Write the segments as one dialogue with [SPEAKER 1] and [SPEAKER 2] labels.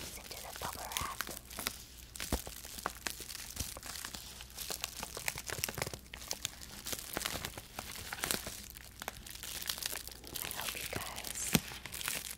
[SPEAKER 1] Listen to the bubble wrap. I hope you guys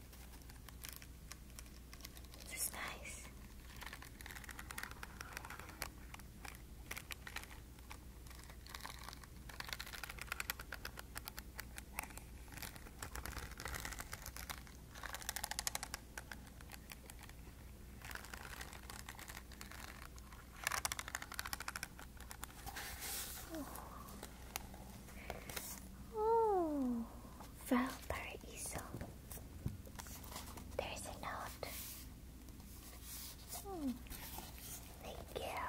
[SPEAKER 1] This is nice. Oh. Oh, Valparaiso. There's a note. Hmm. Thank you.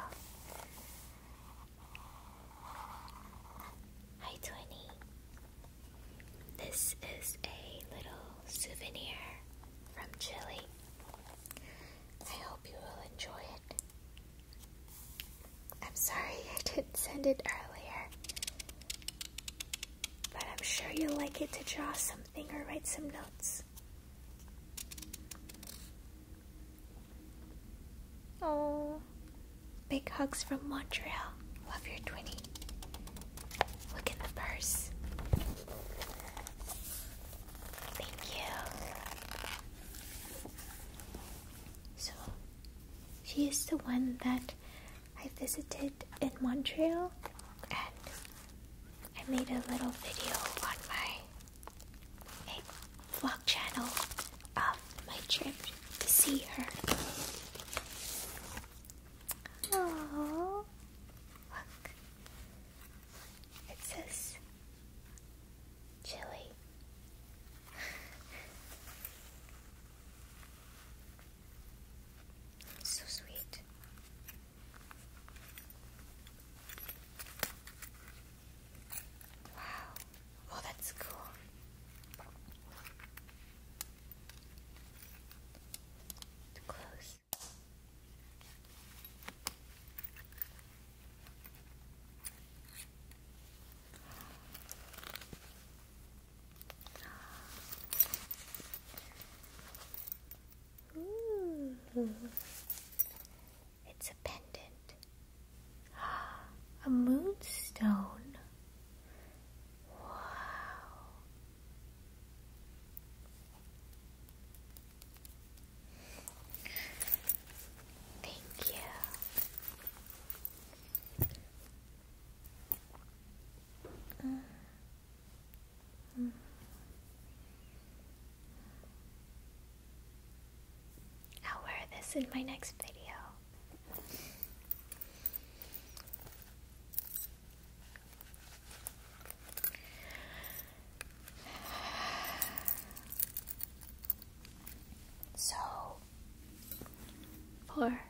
[SPEAKER 1] Hi, Twenty. This is a little souvenir from Chile. I hope you will enjoy it. I'm sorry I didn't send it earlier. But I'm sure you'll like it to draw something or write some notes. Oh, big hugs from Montreal. Love your 20. Look in the purse. Thank you. So, she is the one that I visited in Montreal and I made a little video on my vlog channel of my trip to see her. Aww. Look. It says Chili. so sweet. Wow. Oh, that's cool. Close. It's a pendant. A moonstone. Wow. Thank you. I'll wear this in my next video. So, for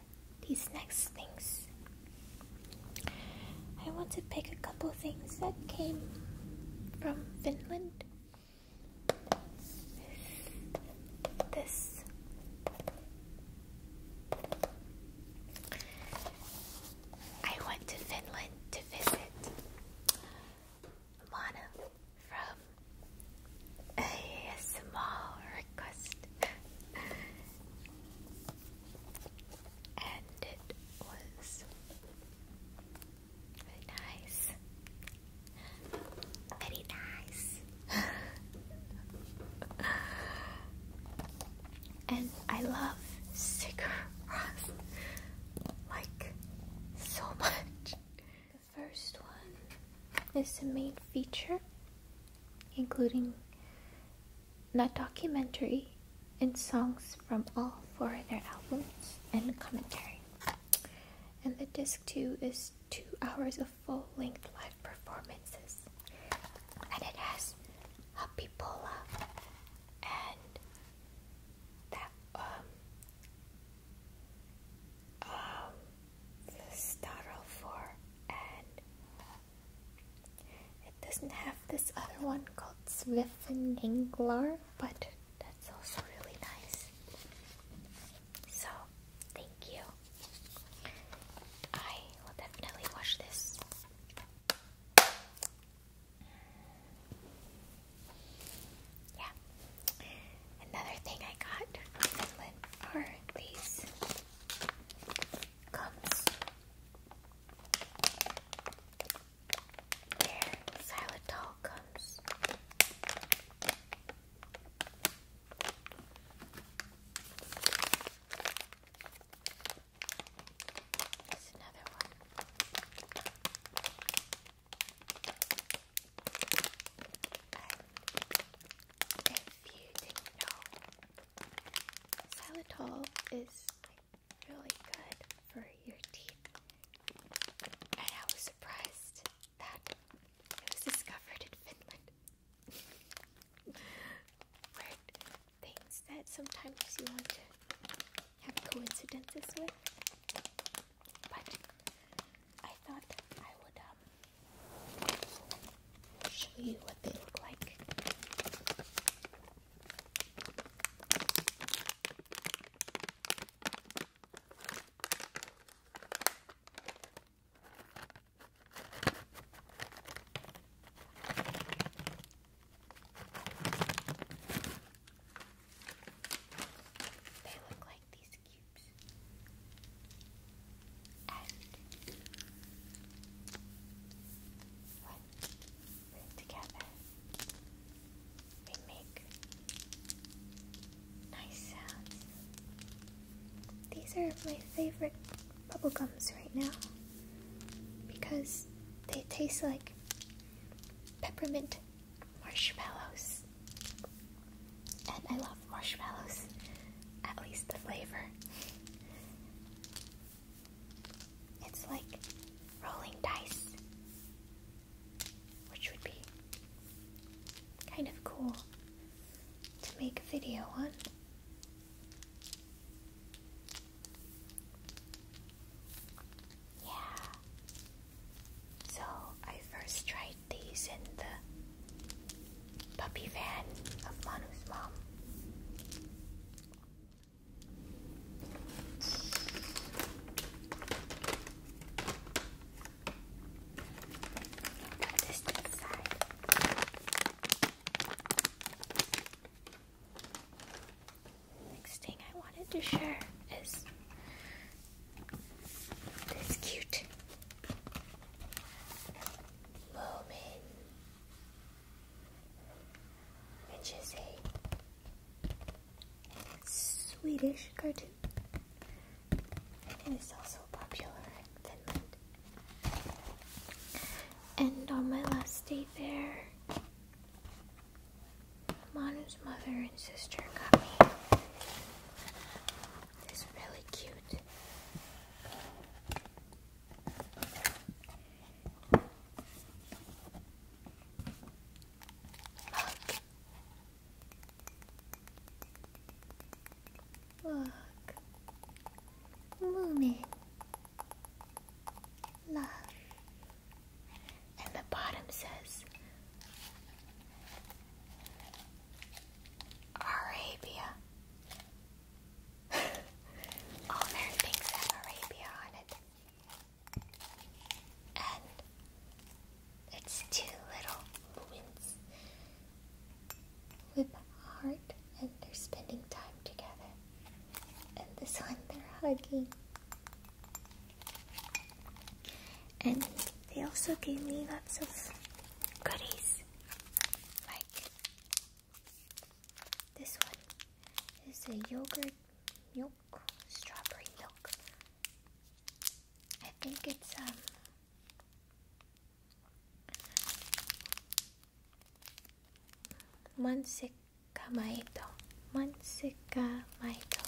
[SPEAKER 1] these next things. I want to pick a couple things that came from Finland. This. I went to Finland to visit Lana from a small request, and it was very nice, very nice. and I love Sigur Rós like so much first one is the main feature, including that documentary and songs from all four of their albums and commentary. And the disc two is two hours of full length live performances. And it has Happy Pola and that um um the Starro 4 and it doesn't have this other one called Swiffeninglar, but that's also really nice. So, thank you. I will definitely wash this. Yeah. Another thing I got from Finland are these gums. They're xylitol gums. another one. Um, xylitol is really good for your teeth, and I was surprised that it was discovered in Finland. Weird things that sometimes you have coincidences with. But I thought I would um, show you what they look like. They look like these cubes. And when we together, we make nice sounds. These are my favorite bubblegums right now because they taste like peppermint marshmallows. And I love marshmallows, at least the flavor. It's like rolling dice, which would be kind of cool to make a video on. Yeah. So I first tried these in the puppy van of Manu's mom. Got this next Next thing I wanted to share is that's cute. Moment. a Swedish cartoon. And it's also popular in Finland. And on my last day there, Manu's mother and sister got me this really cute Look. Moomin. Love. And the bottom says Arabia. All their things have Arabia on it. And it's two little women's with a heart and they're spending time together. And this one they're hugging. And they also gave me lots of goodies. Like this one is a yogurt milk, strawberry milk. I think it's um Manseka Maito. Manseka Maito.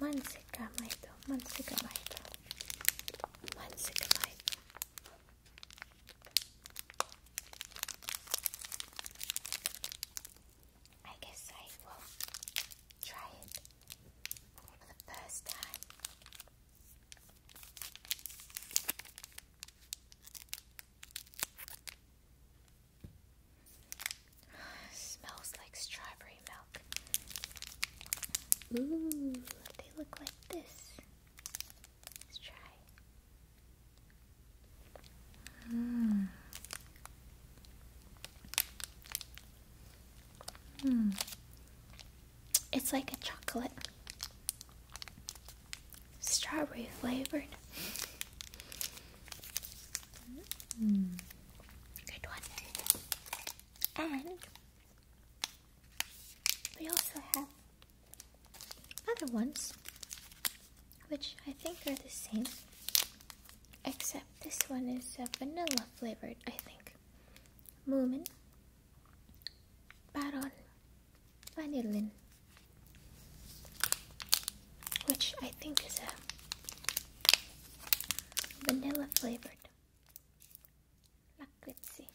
[SPEAKER 1] Manseka. 만식감아이도 만식감아이도 만식감아이도 I guess I will try it for the first time. Smells like strawberry milk. Ooh, they look like this. Let's try. Mmm. Mmm. It's like a chocolate strawberry flavored. Mm. Good one. And we also have other ones which I think are the same except this one is uh, vanilla flavored I think Moomin Baron Vanilla, which I think is a vanilla flavored Look, let's see.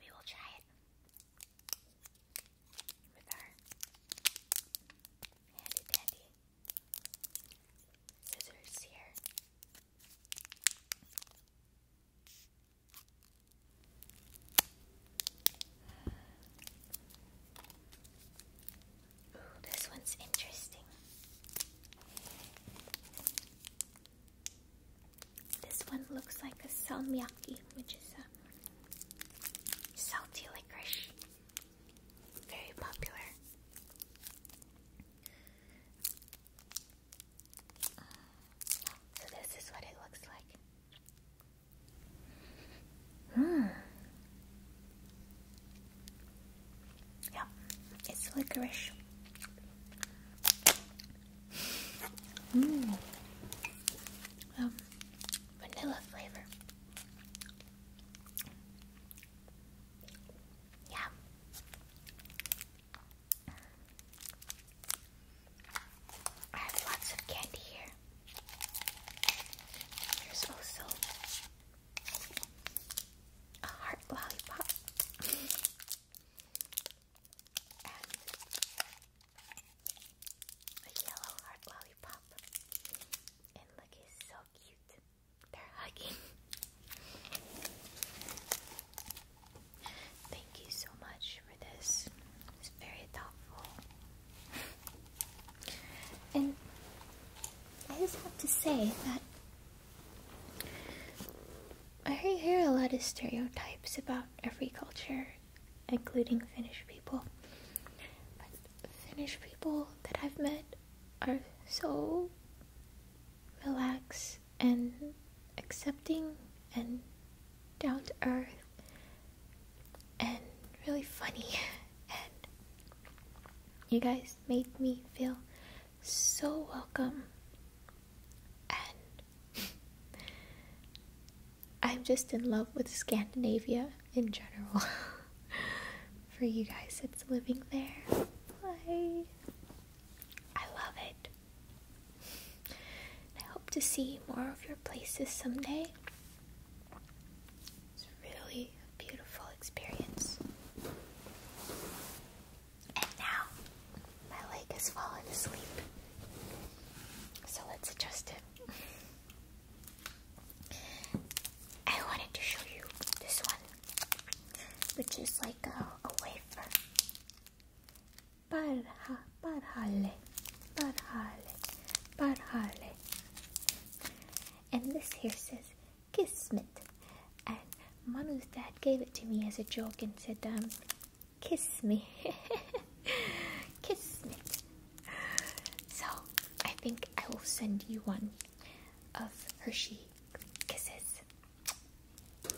[SPEAKER 1] We will try it with our handy dandy scissors here this one's interesting. This one looks like a salmiakki, which is a salty licorice. Very popular. So this is what it looks like. Hmm. Yeah, it's licorice. Mmm. vanilla flavor. Yeah. I have lots of candy here. There's also a heart lollipop. and a yellow heart lollipop. And look, it's so cute. They're hugging. Thank you so much for this. It's very thoughtful. And I just have to say that I hear a lot of stereotypes about every culture, including Finnish people. But Finnish people that I've met are so relaxed and accepting and down to earth and really funny. and you guys made me feel so welcome. And I'm just in love with Scandinavia in general. For you guys, that's living there. I love it. I hope to see more of your places someday. It's really a beautiful experience. And now my leg has fallen asleep. So let's adjust it. I wanted to show you this one, which is like a wafer. Barha, barhale, barhale, barhale and this here says Kismet. And Manu's dad gave it to me as a joke and said, um, kiss me. Kismet. So I think I will send you one of Hershey kisses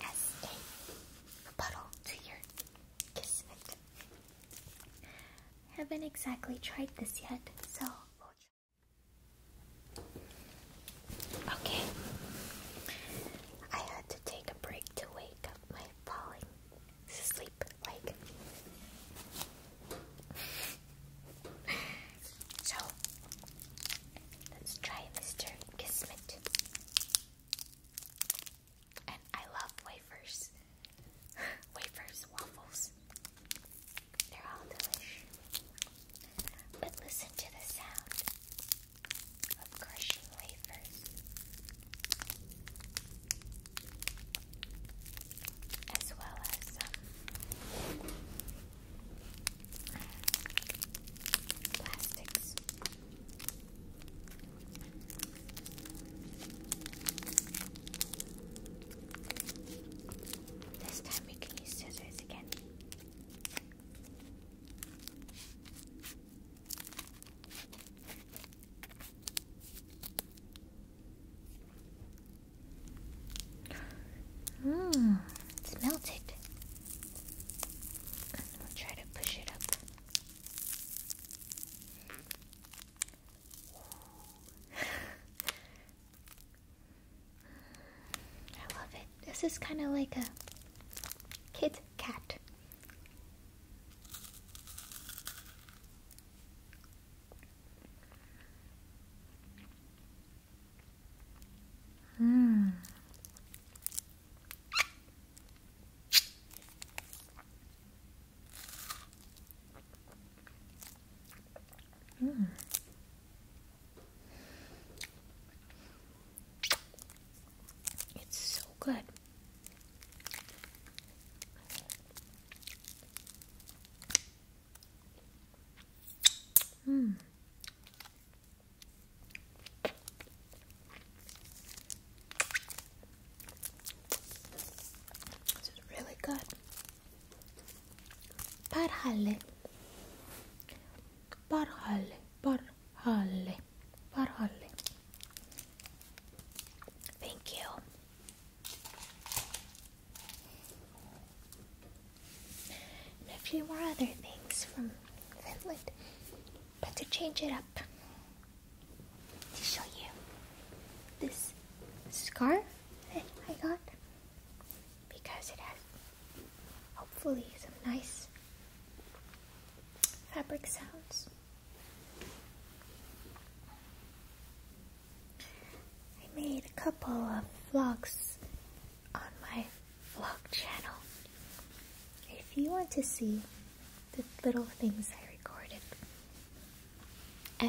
[SPEAKER 1] as a rebuttal to your Kismet. haven't exactly tried this yet, so Okay, I had to take a break to wake up my falling asleep like. so, let's try Mr. Kismet. And I love wafers. wafers, waffles. They're all delish. But listen to the sound of crushing wafers. As well as um, plastics. This time we can use scissors again. Mmm, it's melted. We'll try to push it up. I love it. This is kind of like a Kit cat. Mm. Mm. It's so good. Mm. This is really good. Parhalle. Parhalle. Parhalle. Parhalle. Thank you. And a few more other things from Finland. But to change it up, to show you this scarf I got because it has hopefully some nice fabric sounds. I made a couple of vlogs on my vlog channel. If you want to see the little things I recorded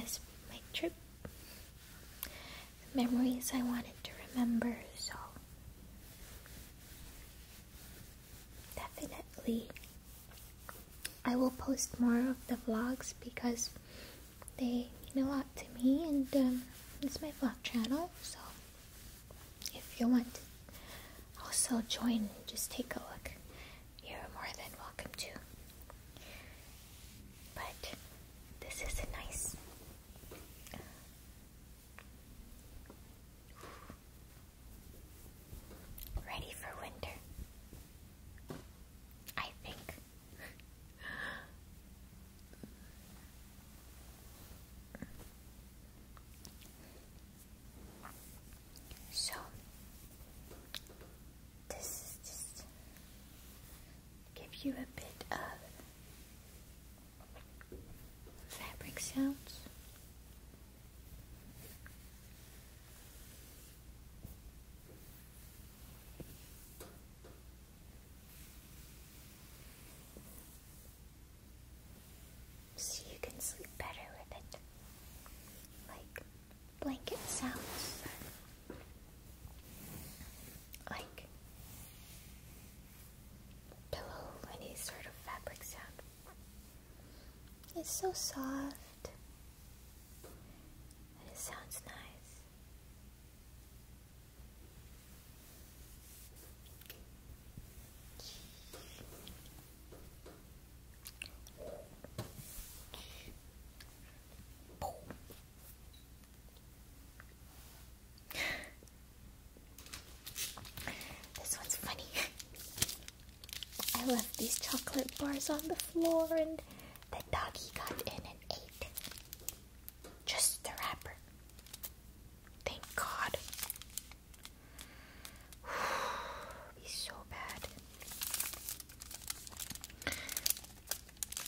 [SPEAKER 1] as my trip memories I wanted to remember, so definitely I will post more of the vlogs because they mean a lot to me and um, it's my vlog channel so if you want to also join just take a look you're more than welcome to. But this is a nice. ready for winter. I think. so, this just give you a bit of fabric sounds. So you can sleep better with it. Like blanket sounds like pillow, any sort of fabric sound. It's so soft and it sounds nice. This one's funny. I left these chocolate bars on the floor and the doggy got in and ate just the wrapper. Thank God. be so bad.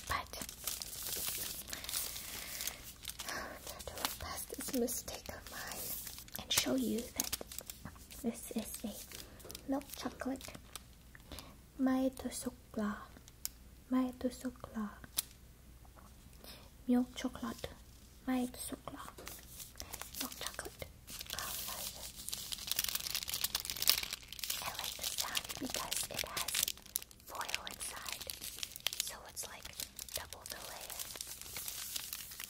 [SPEAKER 1] But that will pass this mistake of mine and show you that this is a milk chocolate. Maeto sokla. Maeto sokla. Milk chocolate. Maeto sokla. Milk chocolate color. I like the sound because it has foil inside, so it's like double the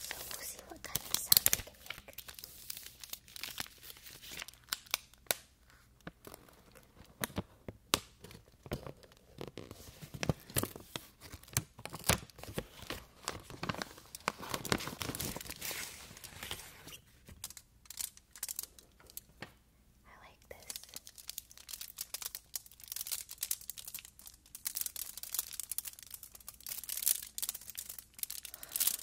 [SPEAKER 1] So we'll see what kind of sound we can make. I like this. So nice.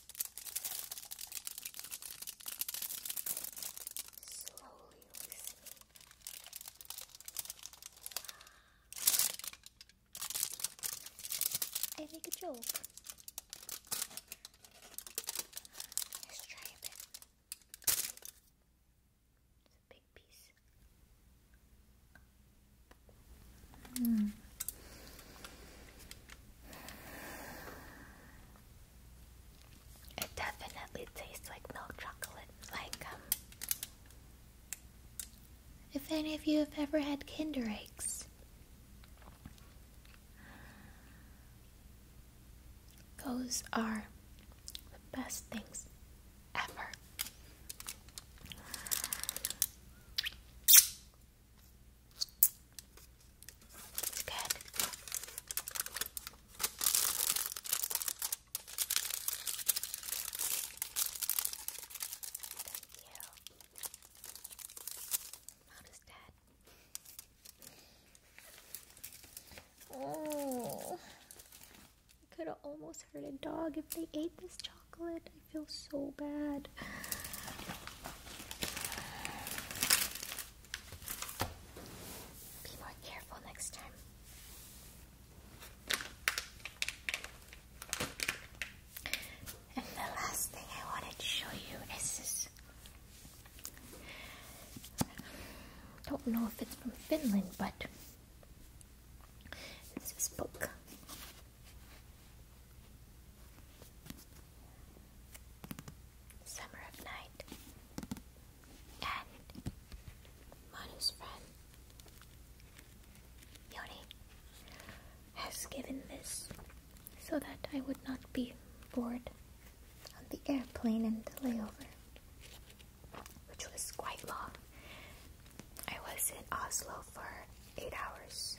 [SPEAKER 1] Slowly loosening. I make a joke. Let's try a bit. It's a big piece. Mm. It definitely tastes like milk chocolate. Like, um, if any of you have ever had Kinder Eggs, those are the best things ever. It's good. Thank you. How does that? Oh, could have almost hurt a dog if they ate this chocolate. I feel so bad. Be more careful next time. And the last thing I wanted to show you is this. Don't know if it's from Finland, but this is book. Summer of Night, and Manu's friend Yoni has given this so that I would not be bored on the airplane and the layover, which was quite long. I was in Oslo for eight hours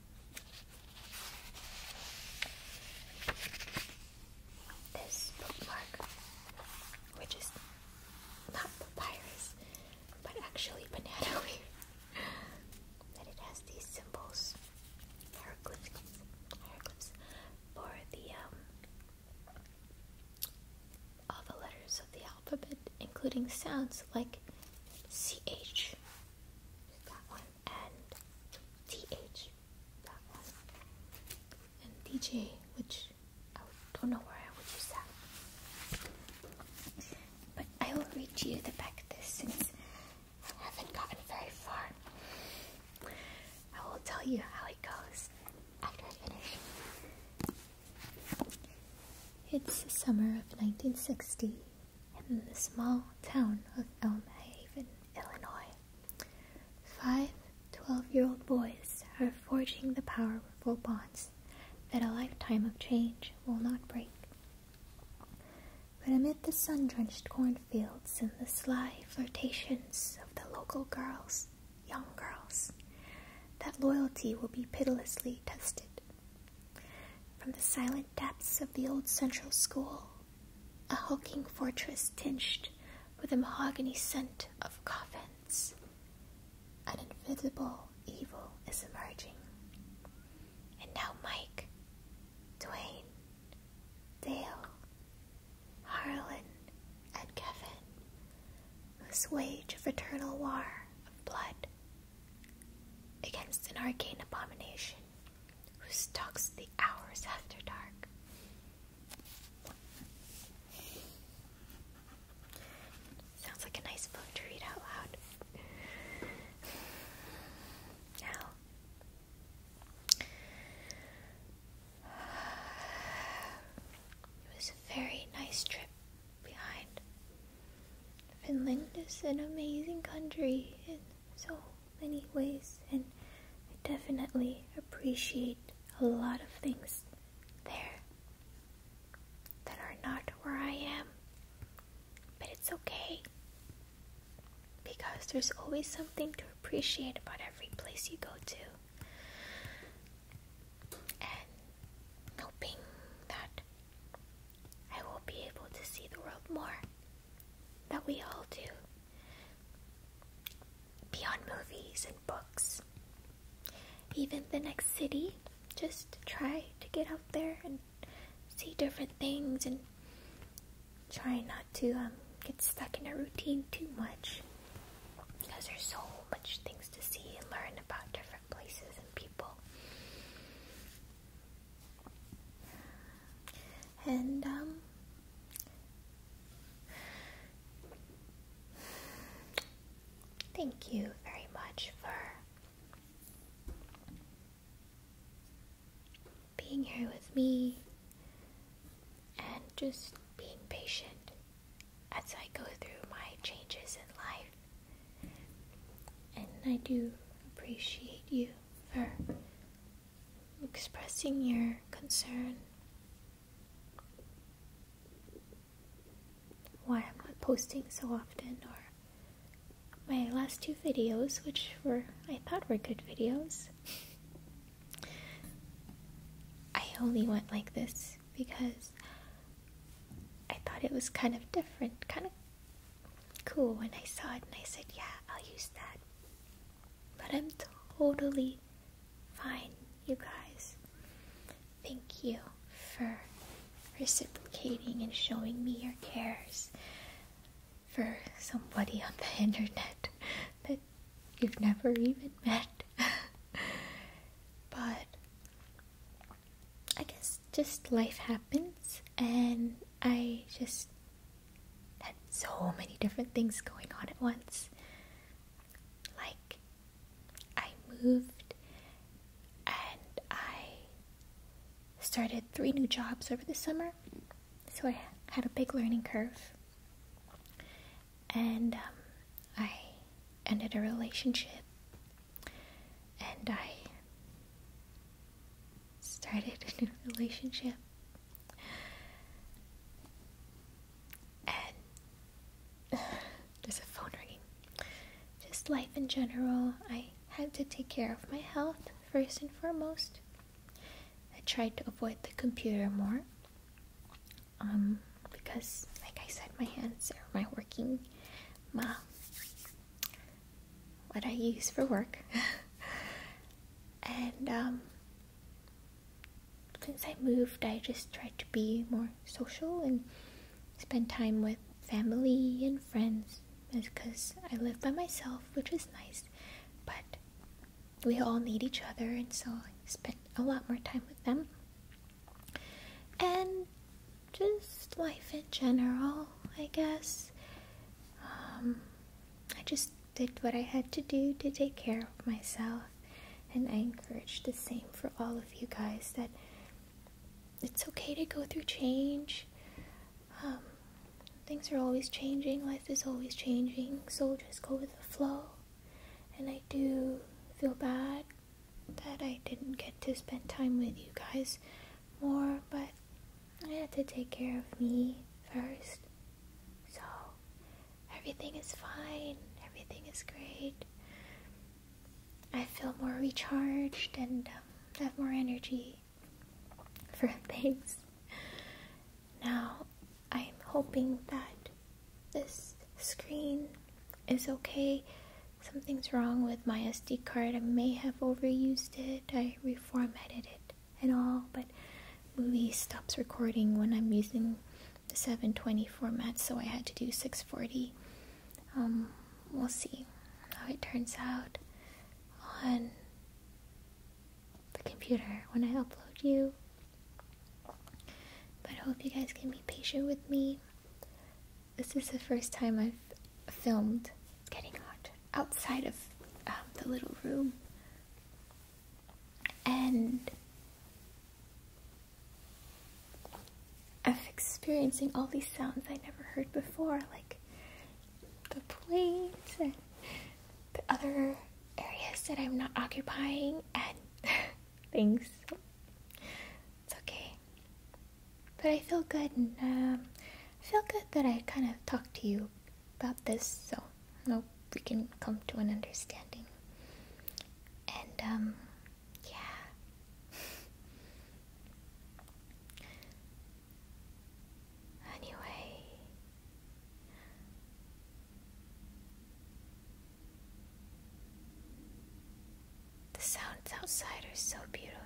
[SPEAKER 1] This bookmark, which is not papyrus, but actually banana weed. and it has these symbols, hieroglyphics for the um, all the letters of the alphabet, including sounds like CH. That one and TH, that one, and DJ, which I don't know where I would use But I will read to you the back of this since I haven't gotten very far. I will tell you how it goes after I finish. It's the summer of 1960, in the small town of Elm Haven, Illinois. 512 year old boys are forging the powerful bonds that a lifetime of change will not break. But amid the sun drenched cornfields and the sly flirtations of the local girls, young girls, that loyalty will be pitilessly tested. From the silent depths of the old central school, a hulking fortress tinged with the mahogany scent of coffins. An invisible evil is emerging. And now Mike, Dwayne, Dale, Harlan, and Kevin must wage a fraternal war of blood against an arcane abomination who stalks the hours after dark. Sounds like a nice book to read out loud. Now, it was a very nice trip behind. Finland is an amazing country and so many ways, and I definitely appreciate a lot of things there that are not where I am. But it's okay because there's always something to appreciate about every place you go to. And hoping that I will be able to see the world more that we all do beyond movies and books. Even the next city, just try to get out there and see different things and try not to um, get stuck in a routine too much because there's so much things to see and learn about different places and people. And um, thank you very much for being here with me and just being patient as I go through my changes in life. And I do appreciate you for expressing your concern. Why I'm not posting so often, or my last two videos, which were I thought were good videos. I only went like this because I thought it was kind of different, kind of cool and I saw it and I said, yeah, I'll use that. But I'm totally fine, you guys. Thank you for reciprocating and showing me your cares for somebody on the internet that you've never even met. but I guess just life happens and I just had so many different things going on at once. Like, I moved and I started three new jobs over the summer, so I had a big learning curve. And um, I ended a relationship, and I started a new relationship. And there's a phone ringing. Just life in general, I had to take care of my health first and foremost. I tried to avoid the computer more um, because, like I said, my hands are my working ma what I use for work. and um, since I moved, I just try to be more social and spend time with family and friends because I live by myself, which is nice, but we all need each other, and so I spend a lot more time with them. And just life in general, I guess. Um, I just did what I had to do to take care of myself, and I encourage the same for all of you guys that it's okay to go through change. Um, things are always changing, life is always changing, so just go with the flow. And I do feel bad that I didn't get to spend time with you guys more, but I have to take care of me first. So, everything is fine, everything is great. I feel more recharged and um, have more energy for things. Now, I'm hoping that this screen is okay. Something's wrong with my SD card. I may have overused it. I formatted it at all, but movie stops recording when I'm using the 720 format, so I had to do 640. Um, we'll see how it turns out on the computer when I upload you. But I hope you guys can be patient with me. This is the first time I've filmed. It's getting hot outside of um, the little room. And I'm experiencing all these sounds I never heard before, like the planes and the other areas that I'm not occupying and things. It's okay. But I feel good and um, I feel good that I kind of talked to you about this, so I hope we can come to an understanding. And, um, yeah. anyway. The sounds outside are so beautiful.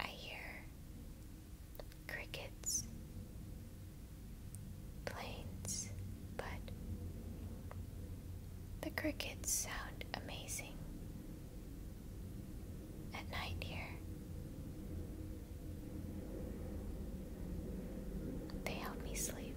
[SPEAKER 1] I hear crickets, planes, but the crickets sound amazing at night here. They help me sleep.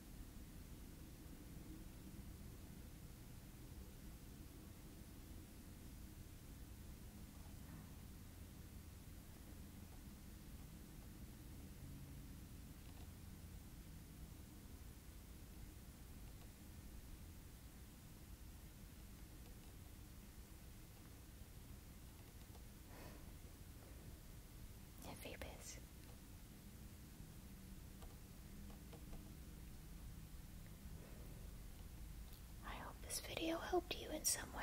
[SPEAKER 1] Every bit I hope this video helped you in some way.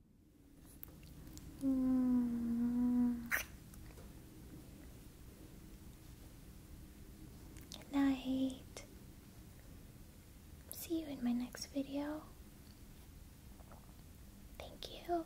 [SPEAKER 1] Mm. Good night. See you in my next video. Thank you.